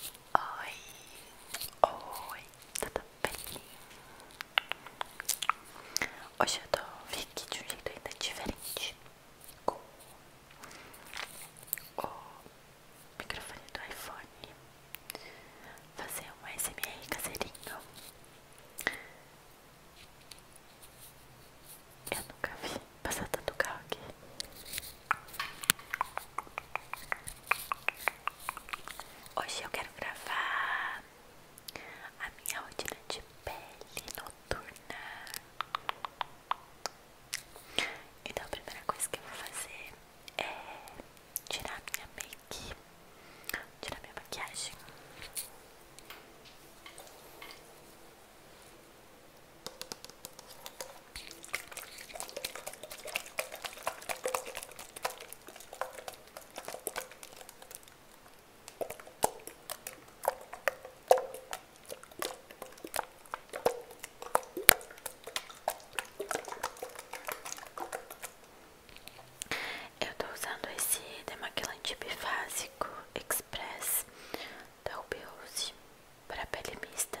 Oi, oi, tudo bem? Hoje eu tô vim aqui de um jeito ainda diferente com o microfone do iPhone fazer um SMR caseirinho. Eu nunca vi passar tanto carro Hoje eu quero gravar a minha rotina de pele noturna. Então a primeira coisa que eu vou fazer é tirar minha make, tirar minha maquiagem. Eu estou usando esse demaquilante bifásico Express da Ruby para pele mista.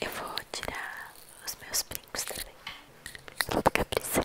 Eu vou tirar os meus brincos também. Vou ficar precisando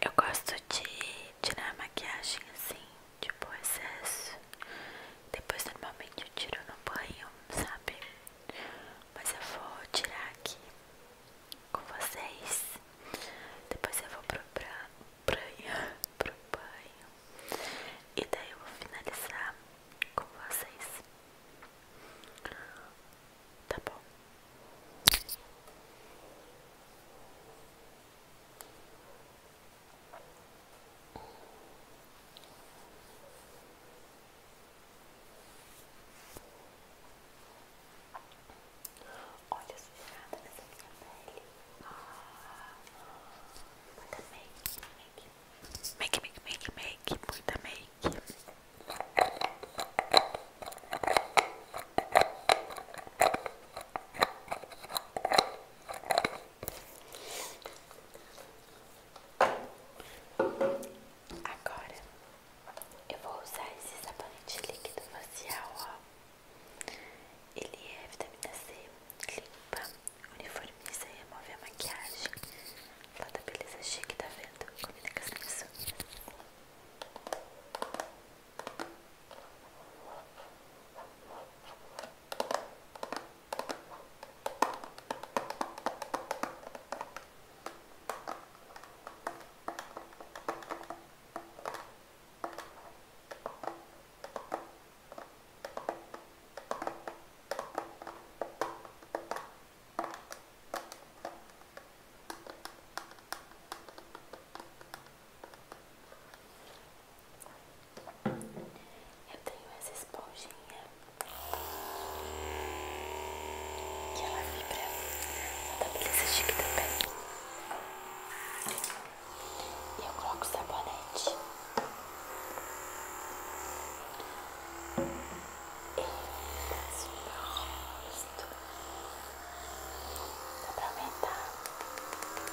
Eu gosto de tirar a maquiagem assim, tipo excesso. Depois normalmente eu tiro no banho, sabe? Mas eu vou tirar aqui com vocês. Depois eu vou pro pro banho. E daí eu vou finalizar com vocês. Tá bom. Olha a sujeirada nessa minha pele. Ah, muita make, make, make, make, make, muita make. Agora eu vou usar esse sabonete líquido facial, ó. Ele é vitamina C, limpa, uniformiza e remove a maquiagem. Lá da beleza chique da tá venda. Combina com as minhas eu tenho essa esponjinha que ela vibra na tableta de também. E eu coloco sabonete. Isso, pronto. Dá pra aumentar.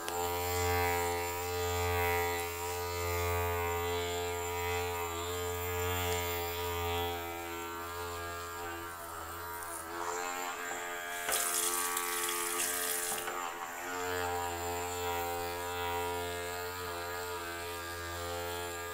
Pronto.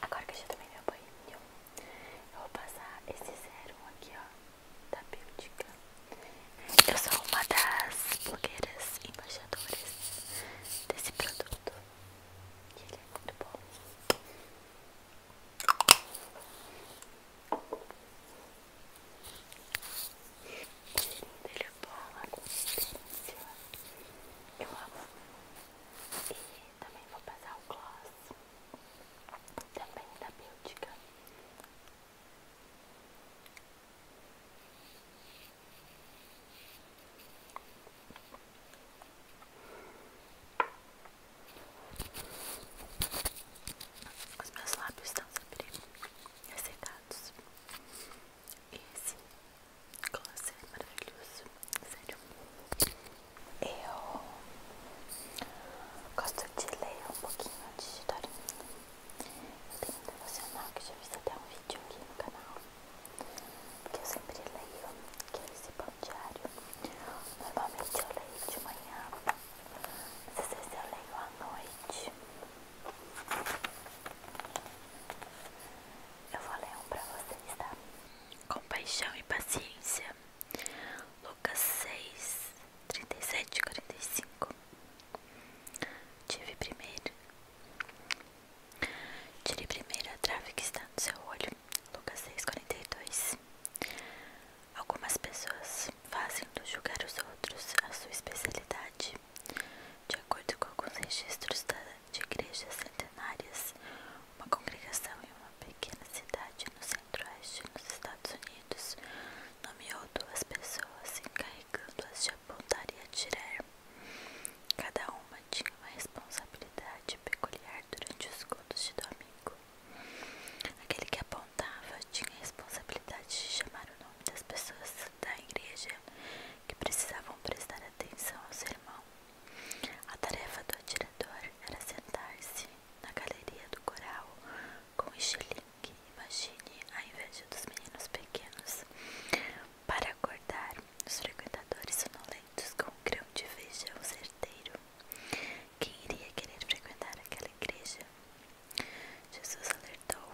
Agora que eu já tomei meu banho, eu vou passar esse zero aqui, ó, da Bélgica. Eu sou uma das blogueiras embaixadoras desse produto. E ele é muito bom. Cheirinho dele é bom, a consistência eu amo. E também vou passar o gloss, também da Bélgica. Os meus lábios estão sempre ressecados lados. Esse gloss é maravilhoso, sério. Eu gosto de ler um pouquinho de história. Eu tenho um devocional que já fiz até um vídeo aqui no canal. Que eu sempre leio, que é esse bom diário. Normalmente eu leio de manhã, mas às vezes eu leio à noite. Eu vou ler um pra vocês, tá? Compaixão e paciência. Lucas 6, 37 45. Tive primeiro. Tirei primeiro a trave que está no seu olho. Lucas 6, 42. Algumas pessoas fazem do julgar os outros a sua especialidade. De acordo com alguns registros de igrejas centenárias, uma congregação em uma pequena cidade no centro-oeste dos Estados Unidos nomeou duas pessoas encarregando-as de apontar e atirar. Cada uma tinha uma responsabilidade peculiar durante os contos de domingo. Aquele que apontou contava tinha a responsabilidade de chamar o nome das pessoas da igreja que precisavam prestar atenção ao sermão. A tarefa do atirador era sentar-se na galeria do coral com estilingue, imagine, a inveja dos meninos pequenos, para acordar os frequentadores sonolentos com um grão de feijão certeiro. Quem iria querer frequentar aquela igreja? Jesus alertou.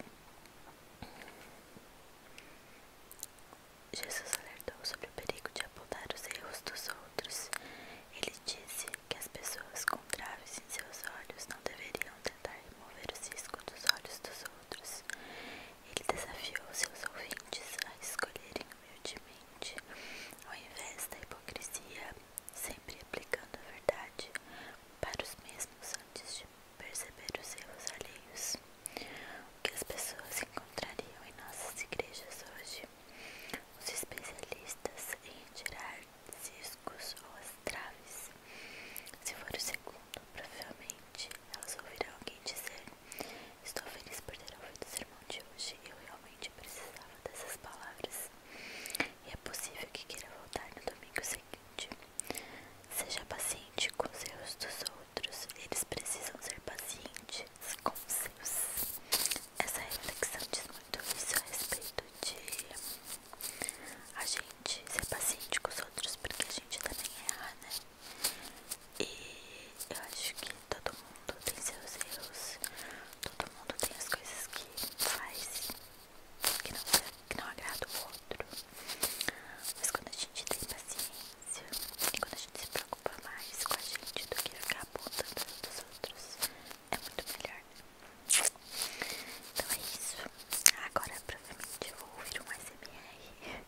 Jesus alertou sobre o perigo de apontar os erros dos outros. Ele disse que as pessoas com traves em seus olhos não deveriam tentar remover os cisco dos olhos dos outros. Ele desafiou seus ouvintes a escolherem humildemente, ao invés da hipocrisia sempre aplicando a verdade para os mesmos antes de perceber os erros alheios. O que as pessoas encontrariam em nossas igrejas hoje? Os especialistas em tirar ciscos ou as traves. Se for o segundo, provavelmente elas ouvirão alguém dizer: Estou feliz por ter ouvido o sermão de hoje, eu realmente precisava dessas palavras. E é possível que queira voltar no domingo seguinte." Seja paciente com os erros dos outros, eles precisam ser pacientes com os seus. Essa reflexão diz muito isso a respeito de a gente ser paciente com os outros, porque a gente também erra, né? E eu acho que todo mundo tem seus erros, todo mundo tem as coisas que faz que não, agrada o outro. Mas quando a gente tem paciência e quando a gente se preocupa mais com a gente do que ficar apontando dos outros, é muito melhor. Né? Então é isso. Agora provavelmente eu vou ouvir um SMR.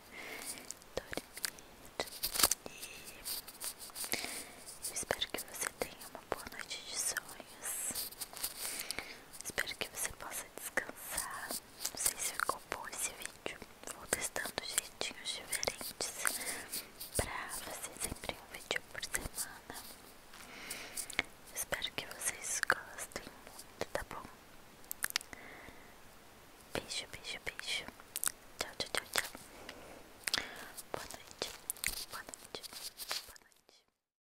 Dormir. E eu espero que você tenha uma boa noite de sonhos. Espero que você possa descansar. Não sei se ficou bom esse vídeo. Vou testando jeitinhos diferentes pra fazer sempre um vídeo por semana. Espero que vocês gostem muito, tá bom? Beijo, beijo, beijo. Tchau, tchau, tchau, tchau. Boa noite. Boa noite. Boa noite.